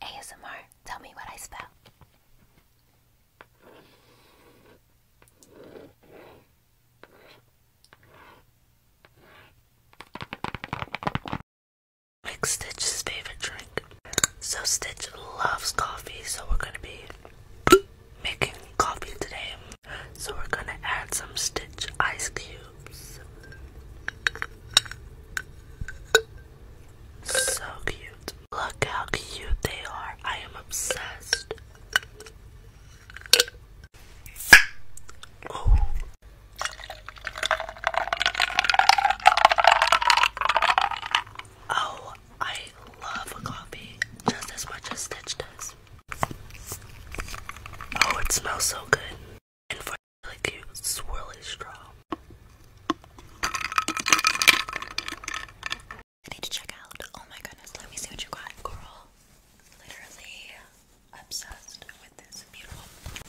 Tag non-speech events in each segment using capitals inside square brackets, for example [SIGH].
ASMR, tell me what I spell. Stitch's favorite drink. So Stitch loves coffee, so we're gonna be making coffee today. So we're gonna add some Stitch ice cubes. So cute. Look how cute they are. I am obsessed. Oh. Oh, I love coffee just as much as Stitch does. Oh, it smells so good. And for the really swirly straw. I need to check out. Oh my goodness, let me see what you got, girl. Literally obsessed with this. Beautiful.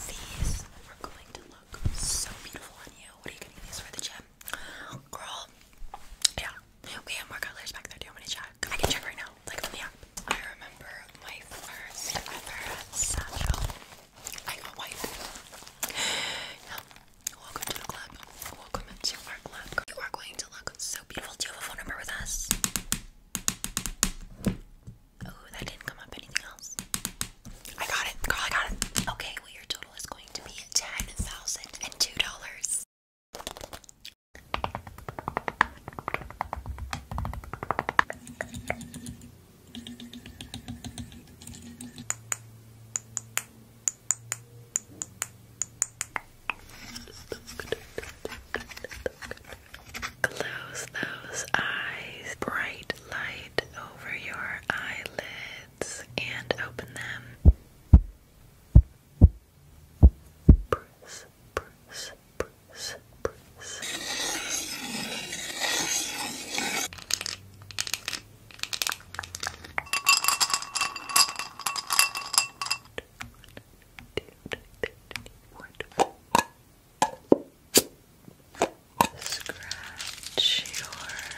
These are going to look so beautiful on you. What are you getting these for the gym? Girl. Yeah. We have more colors back there. Do you want me to I can check right now, like on the app. I remember my first ever satchel. I got white. Yeah. Welcome to the club. Welcome to our club. You are going to look so beautiful. Do you have a phone number with us? Oh, that didn't come up. Anything else? I got it. Girl, I got it. Okay, well, your total is going to be $10,002. Close those eyes. Bright light over your eyelids and open them press, press, press, press. Scratch your head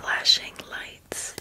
flashing lights.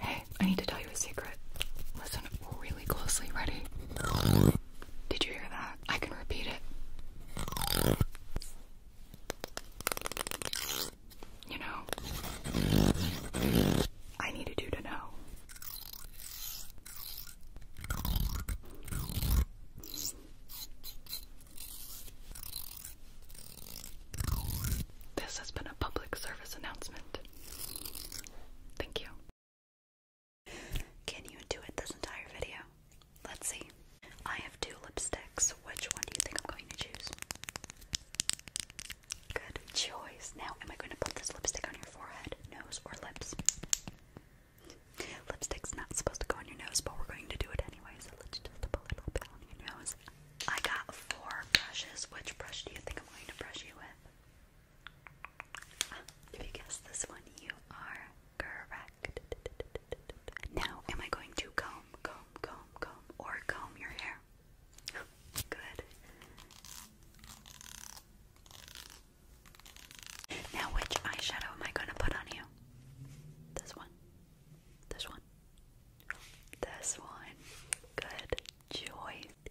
Hey, I need to tell you a secret. Listen really closely, ready? Did you hear that? I can repeat it. You know, I needed you to know. This has been a public service announcement. Thank you. Can you do it this entire video? Let's see. I have two lipsticks. Which one do you think I'm going to choose? Good choice. Now, am I going to put this lipstick on your forehead, nose, or lips? Lipstick's not supposed to go on your nose, but we're going to do it anyway, so let's just put a little bit on your nose. I got four brushes. Which brush do you think I'm going to brush you with? if you guess this one, you are Correct. Now, am I going to comb, comb, comb, comb, or comb your hair? Good. Now, which eyeshadow am I going to put on you? This one. This one. This one. Good choice.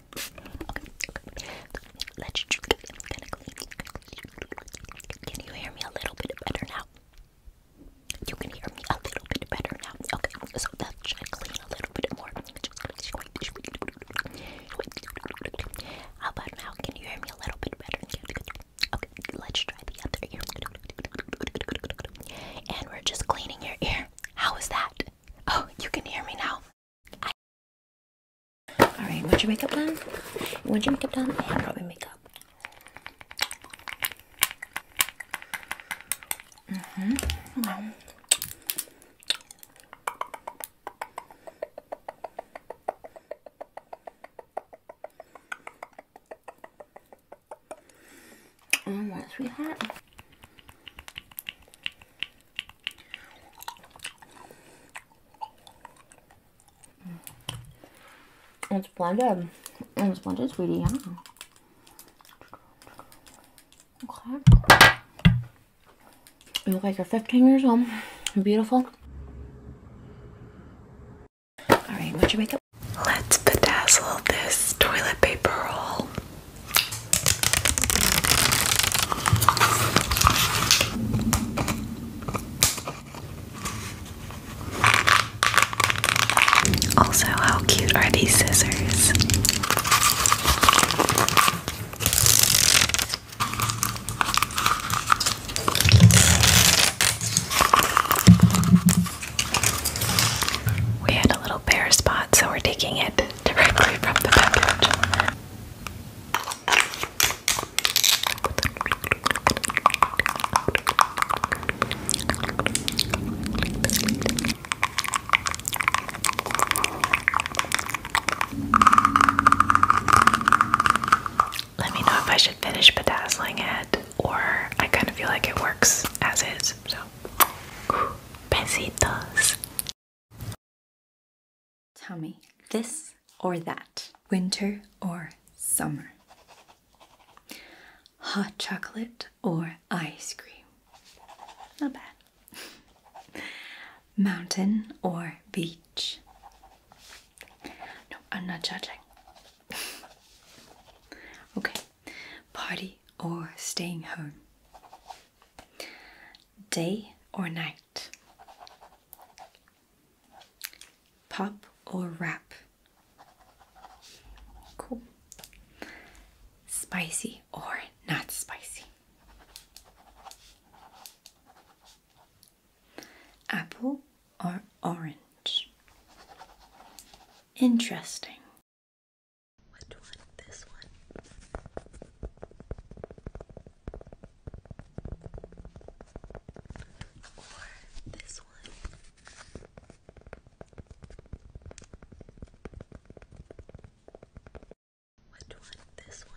Okay, Let's just Can you hear me a little bit better now? You can hear me a little bit better now. Okay, so that should clean a little bit more. How about now? Can you hear me a little bit better? Okay, let's try the other ear. And we're just cleaning your ear. How is that? Oh, you can hear me now. Alright, once your makeup done, once your makeup done, and probably makeup. Mm-hmm. mm-hmm. Oh, All right, sweetheart. It's blended. It's blended, sweetie. Yeah. Okay. You look like you're 15 years old. Beautiful. All right, what's your makeup? Let's bedazzle this toilet paper roll also, how cute are these scissors? We had a little bare spot, so we're taking it [LAUGHS] directly from the package. Let me know if I should finish bedazzling it, or I kind of feel like it works as is. So, Ooh, besitos. Tell me, this or that? Winter or summer? Hot chocolate or ice cream? Not bad. [LAUGHS] Mountain or beach? No, I'm not judging. [LAUGHS] okay, party or staying home? Day or night? Pop or rap? Cool. Spicy or not spicy? Apple or orange? Interesting. Which one? This one? Or this one? Which one? This one?